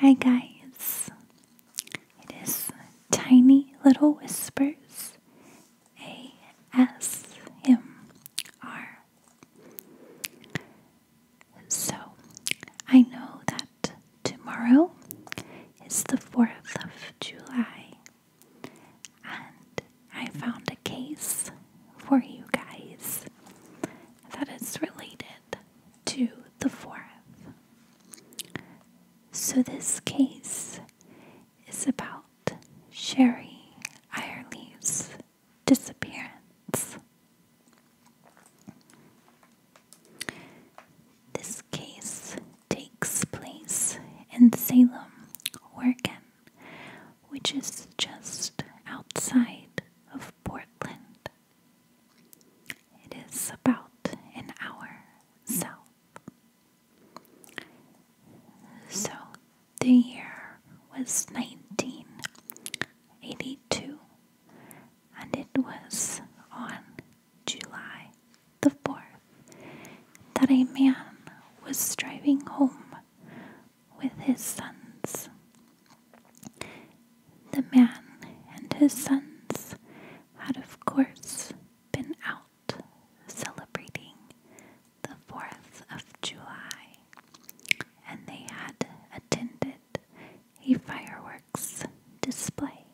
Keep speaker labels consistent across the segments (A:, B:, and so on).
A: Hi, guys. It is Tiny Little Whispers ASMR. So, I know that tomorrow is the 4th of July, and I found a case for you guys that is related to the fourth. So, this case is about Sherry Ireleaf's disappearance. This case takes place in Salem, Oregon, which is just outside of Portland. It is about an hour south. So the year was 1982, and it was on July the 4th that a man was driving home with his sons the man and his sons had, of course, been out celebrating the 4th of July, and they had attended a fireworks display.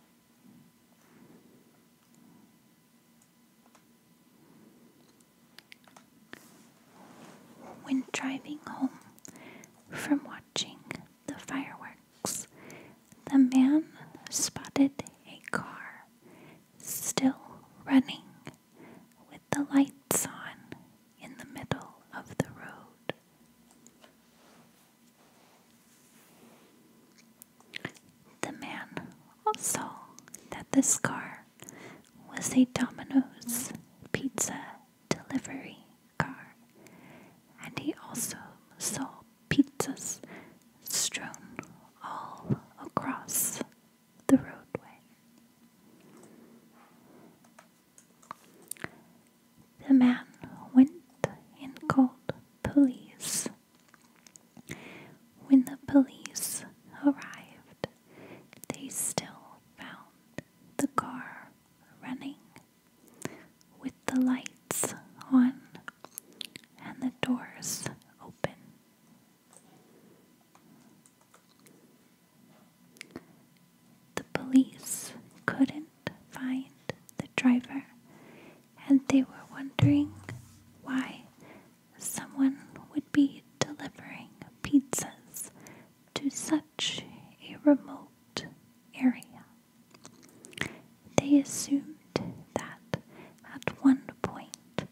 A: When driving home from watching the fireworks, the man spotted a car still running with the lights on in the middle of the road. The man also that this car was a Domino's pizza delivery car, and he also saw pizzas strewn all across the roadway. The man went and called police. When the police arrived, they still found the car running with the lights on and the doors open. The police couldn't find the driver and they were wondering why someone would be delivering pizzas to such a remote area. They assumed that at one point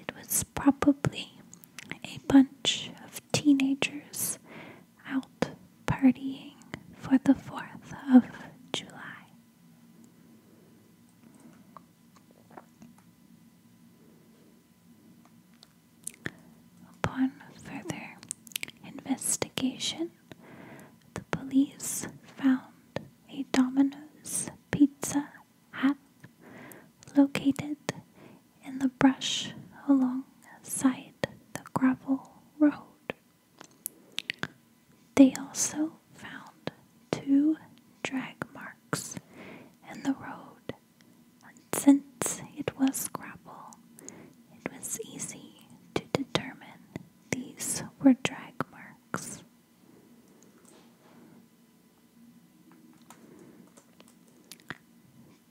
A: it was probably a bunch of teenagers out partying for the 4th of July. Upon further investigation, the police found a Domino's pizza hat located in the brush alongside the gravel road. They also found two drag marks in the road, since it was gravel, it was easy to determine these were drag marks.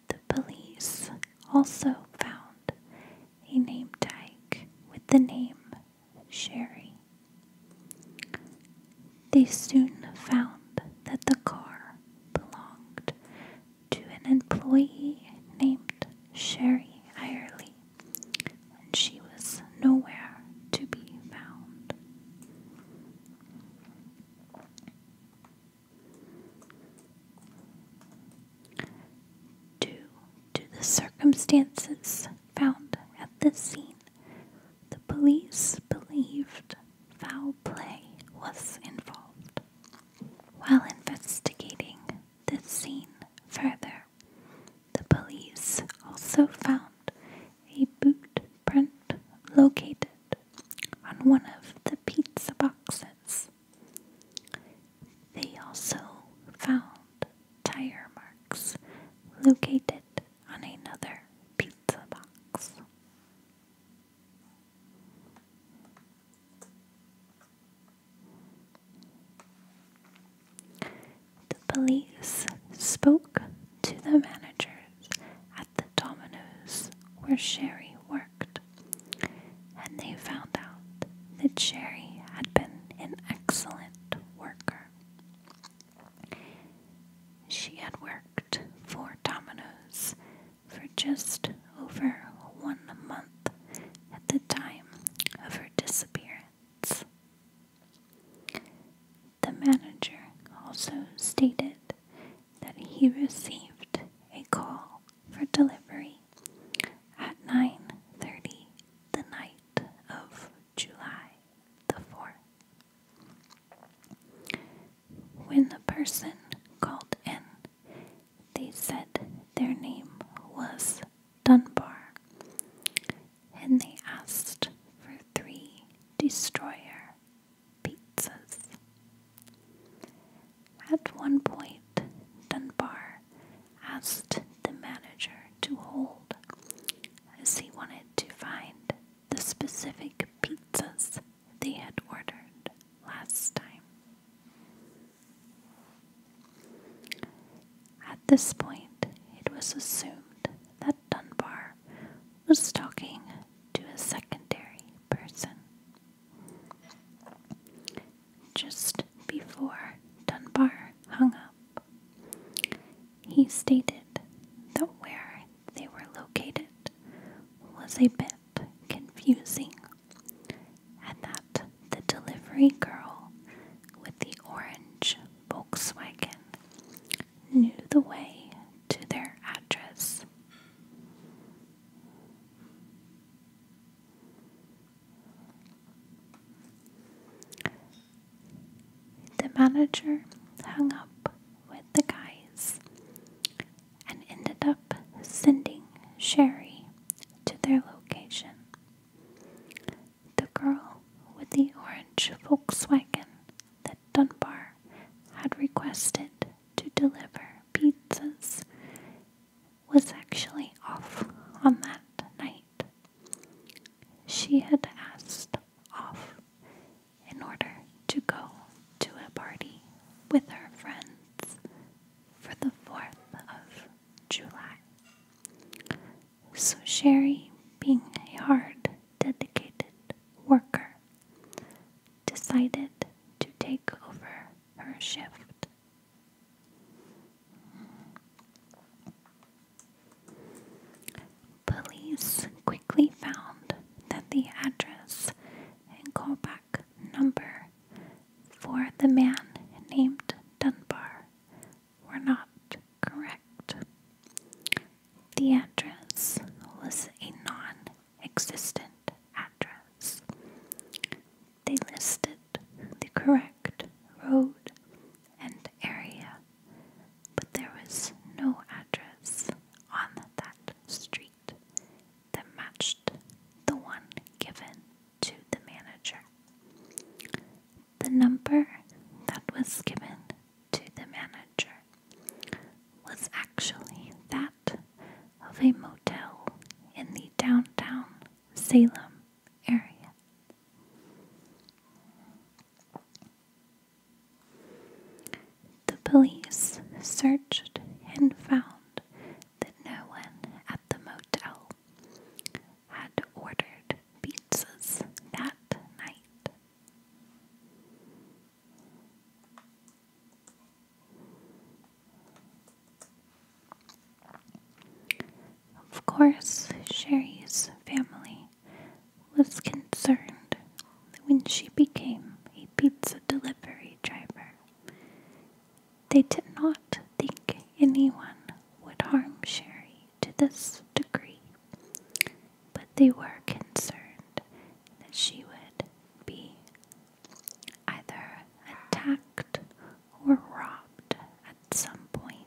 A: The police also found a name tag with the name Sherry. They soon found that the car belonged to an employee named Sherry Irely and she was nowhere to be found. Due to the circumstances found at the scene, the police believed foul play was involved. While investigating this scene further, the police also found a boot print located on one of the pizza boxes. They also found tire marks located on another pizza box. The police spoke to the managers at the Domino's where Sherry worked, and they found out that Sherry had been an excellent worker. She had worked for Domino's for just over one month at the time of her disappearance. The manager also stated that he received a call for delivery at 9:30 the night of July the 4th. When the person called in, they said their name was Dunbar, and they asked for three destroyer pizzas. At one point, Dunbar asked the manager to hold as he wanted to find the specific pizzas they had ordered last time. At this point, it was assumed that Dunbar was talking to a secondary person. Just before Dunbar hung up, he stated that where they were located was a bit confusing and that the delivery girl with the orange Volkswagen knew the way to their address. The manager hung up with the guys and ended up sending Sherry to their location. The girl with the orange Volkswagen that Dunbar had requested to deliver pizzas was actually off on that night. She had asked off in order to go to a party with her friends for the 4th of July. So, Sherry, being a hard, dedicated worker, decided to take over her shift. Police quickly found that the address in Colba number for the man named Dunbar were not correct. The address was a non existent address. They listed the correct road and area, but there was no address on that street that matched the one given to the manager. The number that was given to the manager was actually that of a motel in the downtown Salem area. The police searched and found that no one at the motel had ordered pizzas that night. Of course, Sherry's family was concerned when she became a pizza delivery driver they did not think anyone would harm Sherry to this degree, but they were concerned that she would be either attacked or robbed at some point.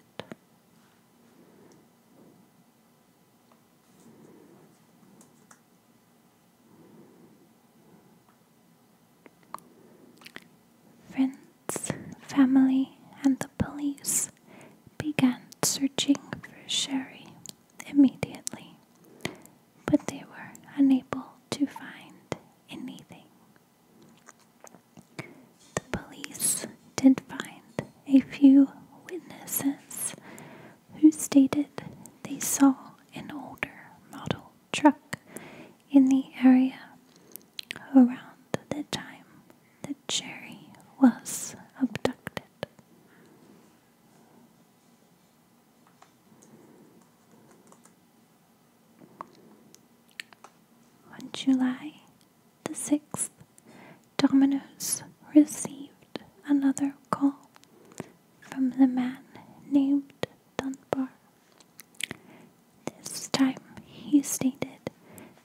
A: Friends, family, and the police began searching for Sherry immediately, but they were unable to find anything. The police did find a few witnesses who stated they saw an older model truck in the area around the time that Jerry was abducted. On July the 6th, Dominoes received another call from the man named Dunbar this time he stated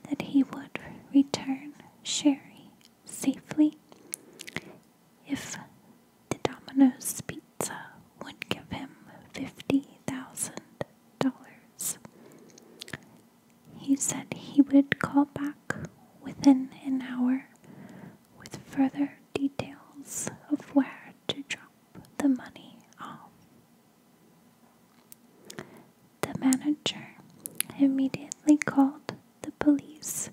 A: that he would return Sherry safely if the Domino's Pizza would give him $50,000. He said he would call back within an hour with further details of where to drop the money off. The manager immediately called the police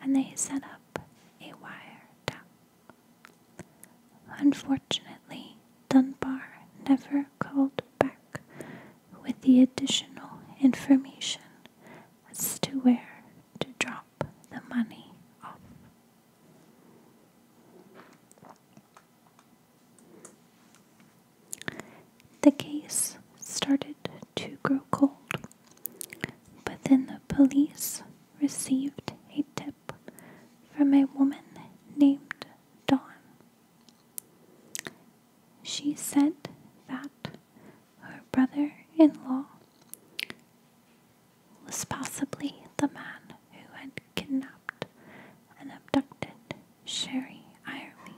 A: and they set up a wiretap. Unfortunately, Dunbar never called back with the additional information as to where to drop the money off. The case started to grow cold, but then the police received a tip from a woman named Dawn. She said that her brother in law was possibly the man who had kidnapped and abducted Sherry Irby.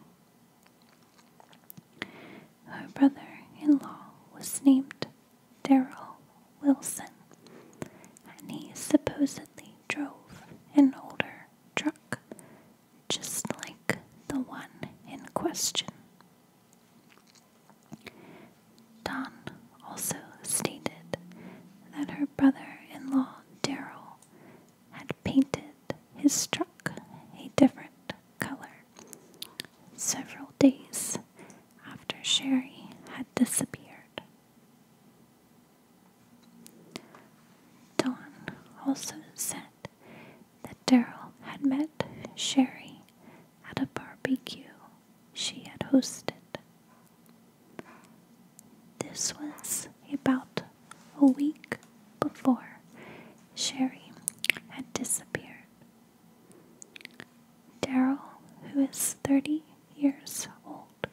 A: Her brother in law was named Darrell Wilson, and he supposedly drove an older truck just like the one in question. Don also stated that her brother in law, Darrell, had painted his truck a different color several days after Sherry had disappeared. Don also said that Darrell had met Sherry at a barbecue she had hosted. This was about a week before Sherry had disappeared. Daryl, who is 30 years old,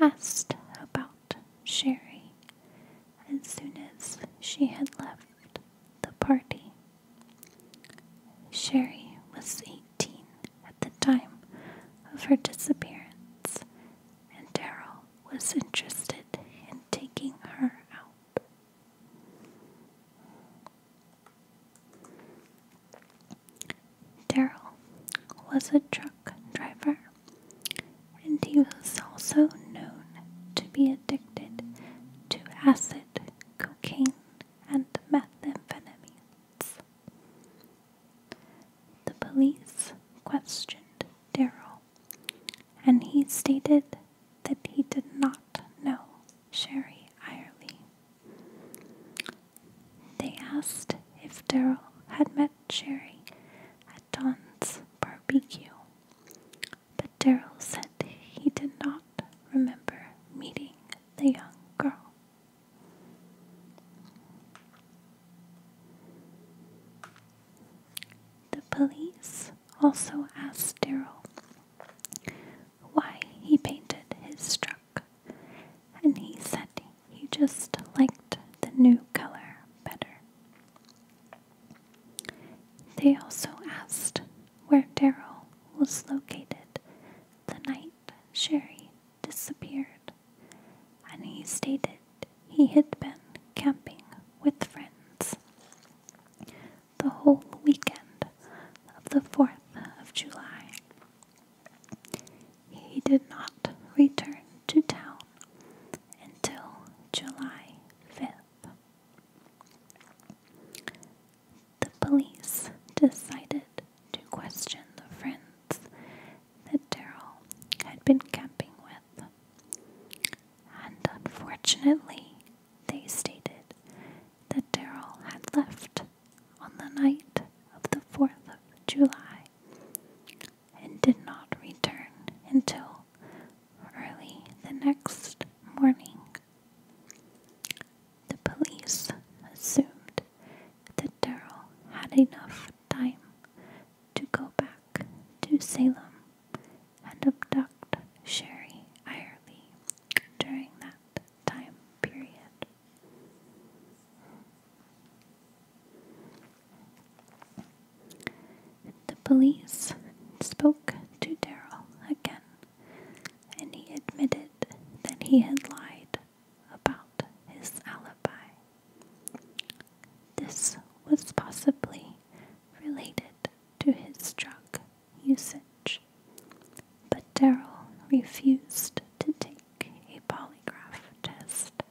A: asked about Sherry as soon as she had left the party. Sherry was 18 15 at the time of her disappearance, and Daryl was interested in taking her out. Daryl was a truck driver, and he was also known to be addicted to acid, cocaine, and methamphetamine. The police questioned Darrell, and he stated that he did not know Sherry Irely. They asked if Darrell had met Sherry at Don's barbecue, but Darrell said he did not remember meeting the young girl. The police also asked Darrell why he painted his truck, and he said he just liked the new color better. They also asked where Darrell was located the night Sherry disappeared, and he stated he had been camping with friends the whole weekend of the 4th of July. He did not return to town until July 5th the police decided to question the friends that Darrell had been camping with. And unfortunately, they stated that Darrell had left on the night of the 4th of July and did not return until early the next morning. The police assumed that Daryl had enough time to go back to Salem and abduct Sherry Irely during that time period. The police spoke to Daryl again, and he admitted that he had lied about his alibi. This was possibly related to his drug usage, but Daryl refused to take a polygraph test.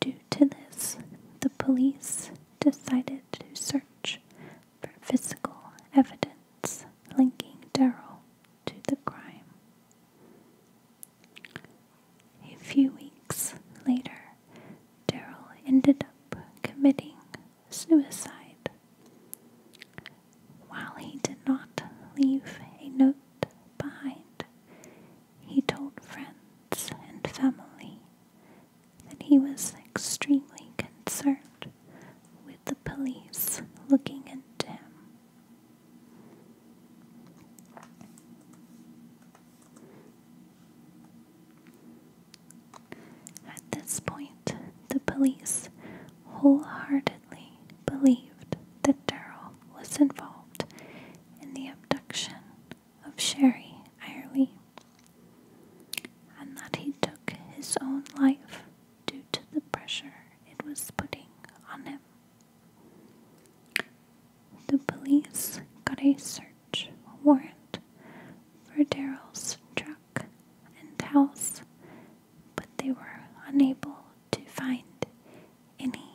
A: Due to this, the police decided to search for physical evidence linking Daryl to the crime. A few weeks later, Daryl ended up committing suicide. While he did not leave a note behind, he told friends and family that he was extremely concerned with the police looking at him. At this point, the police wholeheartedly believed that Daryl was involved in the abduction of Sherry Irely and that he took his own life due to the pressure it was putting on him. The police got a search warrant for Daryl's truck and house, but they were unable to find any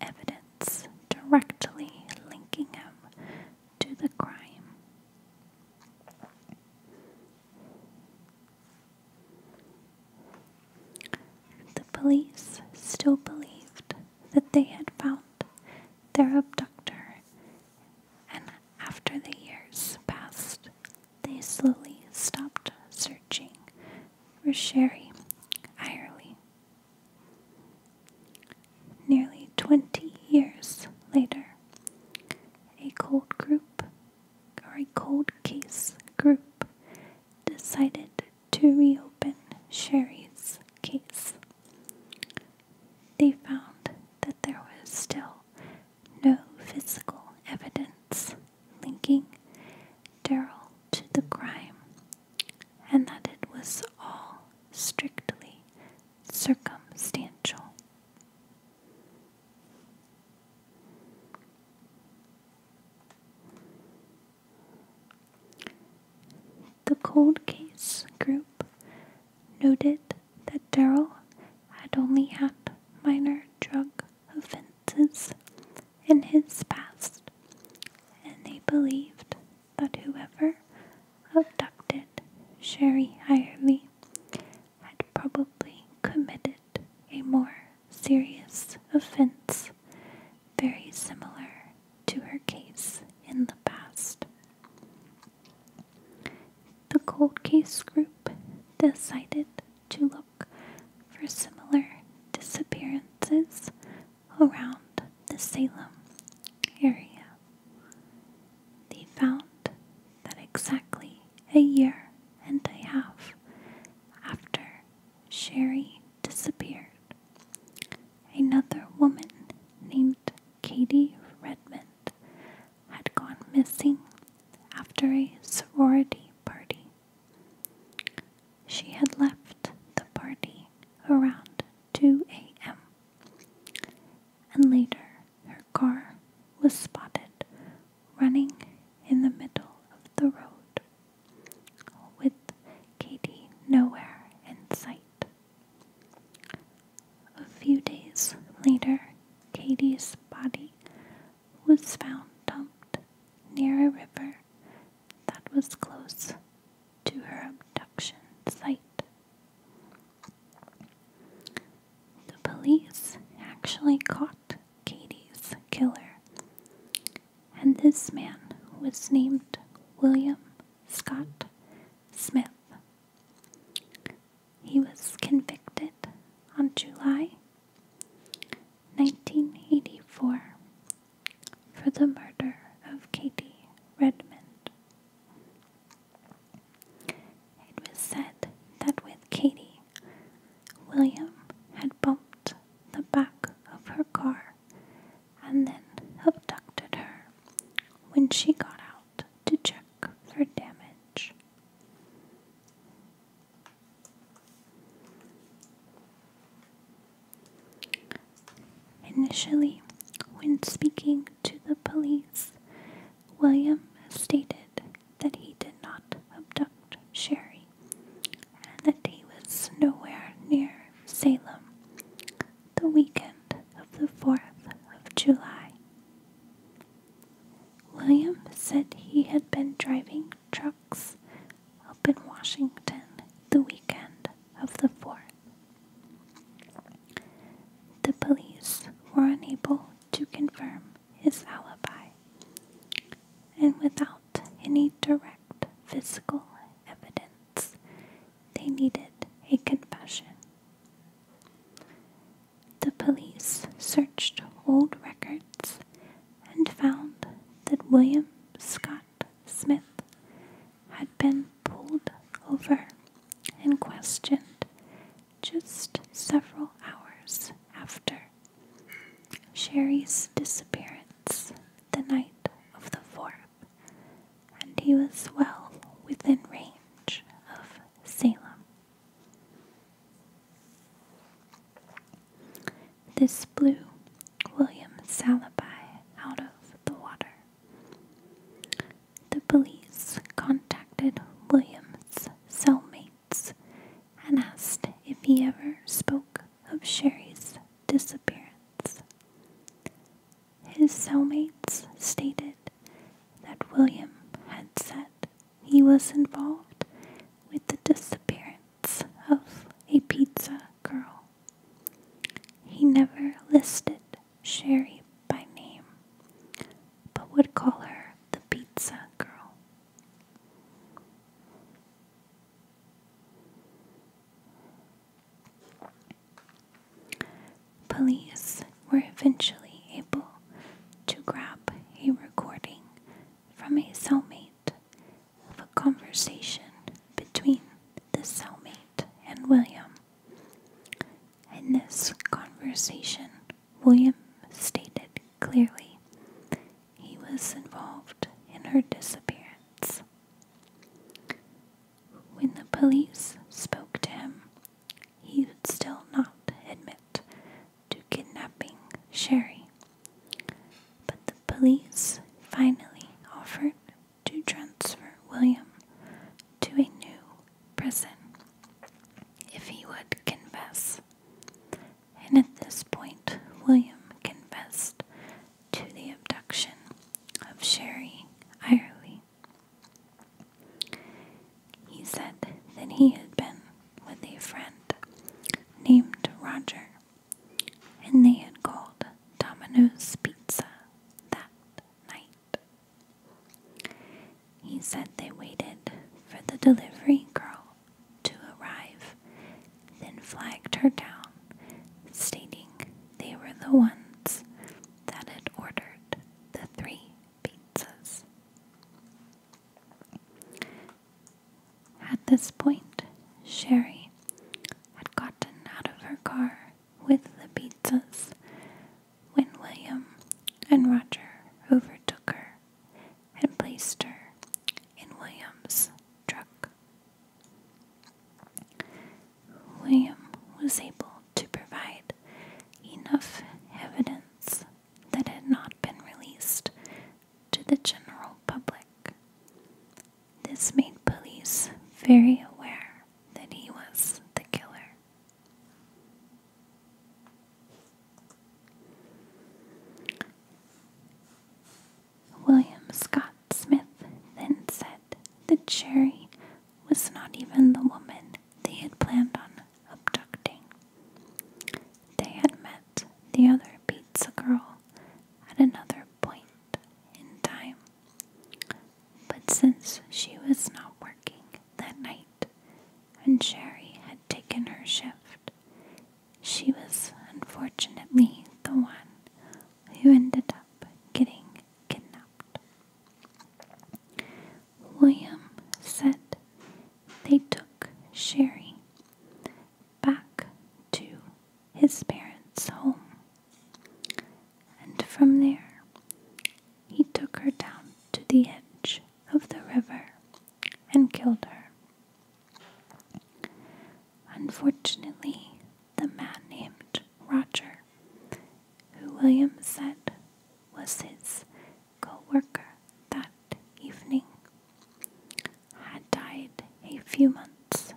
A: evidence directly linking him to the crime. The police still believed that they had found their abductor, and after the years passed, they slowly stopped searching for Sherry Irely. Nearly 20 years later, a cold group or a cold case group decided to reopen Sherry's case. They found that there was still no physical evidence linking Daryl to the crime and that it was all strictly circumstantial. The cold case group noted that Daryl had only had minor drug offenses in his past, and they believed that whoever abducted Sherry Hirely had probably committed a more serious offense very similar to her case in the past. The cold case group decided to look for similar disappearances around the Salem area. They found that exactly a year and a half after Sherry disappeared, another woman named Katie Redmond had gone missing after a sorority party. She had left the party around 2 a.m. and later her car was spotted running in the middle of the road, with Katie nowhere in sight. A few days later, Katie's body was found dumped near a river that was close to her abduction site. The police actually caught Katie's killer, and this man was named William Scott Smith. He was convicted on July 1984 for the murder of Katie Redmond. It was said that with Katie, William had bumped the back of her car and then abducted her when she got out to check for damage. Initially, when speaking to the police, William stated that he did not abduct Sherry and that he was nowhere near Salem the weekend of the 4th of July. William said he had been driving trucks up in Washington the weekend of the 4th. The police were unable to confirm his alibi, and without any direct physical evidence, they needed a confession. The police searched old records and found that William Scott Smith had been pulled over and questioned just several hours after Sherry's disappearance the night of the 4th, and he was well within range of Salem. This blew William Salaby out of the water. The police contacted William's cellmates and asked if he ever spoke of Sherry's disappearance. His cellmates stated that William had said he was involved with the disappearance of a pizza girl. He never listed Sherry by name, but would call her the Pizza Girl. Police were eventually able to grab a recording from a cellmate of a conversation between the cellmate and William, in this conversation, William stated clearly he was involved in her disappearance. When the police spoke to him, he would still not admit to kidnapping Sherry. But the police finally offered to transfer William to a new prison if he would confess. And at this point, William confessed to the abduction of Sherry Irely. He said that he had been with a friend named Roger, and they had called Domino's Pizza that night. He said they waited for the delivery girl to arrive, then flagged her down, stating they were the ones that had ordered the three pizzas. At this point, Sherry had gotten out of her car with the pizzas when William and Roger overtook her and placed her in William's truck. William was able to provide enough evidence that had not been released to the general public. This made police very aware that he was the killer. William Scott Smith then said that Sherry was not even the woman they had planned on abducting. They had met the other pizza girl at another point in time, but since she was not working that night, when Sherry had taken her shift. She was unfortunately the one who ended up getting kidnapped. William said they took Sherry back to his parents' home, and from there he took her down to the edge of the river and killed her. Unfortunately, the man named Roger, who William said was his co worker that evening, had died a few months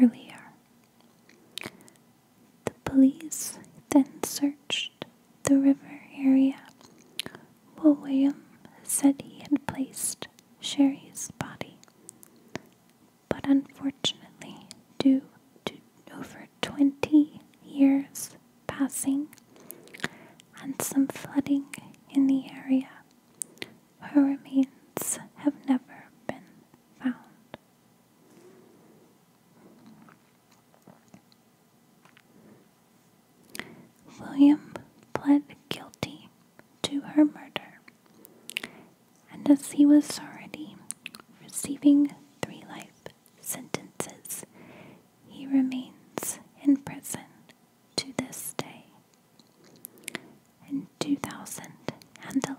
A: earlier. The police then searched the river area. Well, William said he had placed Sherry's body, but unfortunately, due to over 20 years passing and some flooding in the area, her remains have never been found. William pled guilty to her murder, and as he was already receiving three life sentences, he remains in prison to this day. In 2011,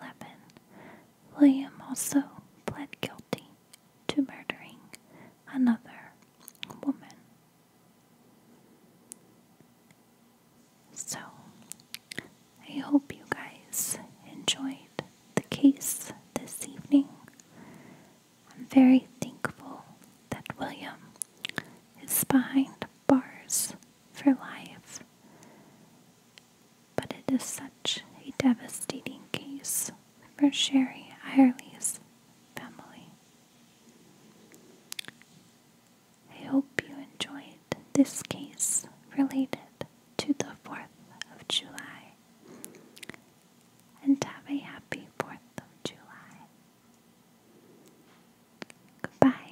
A: William also pled guilty to murdering another woman. So, I hope you guys enjoyed the case this evening. I'm very thankful that William is behind bars for life, but it is such a devastating case for Sherry Irely's family. I hope you enjoyed this case related to the 4th of July and have a happy 4th of July. Goodbye.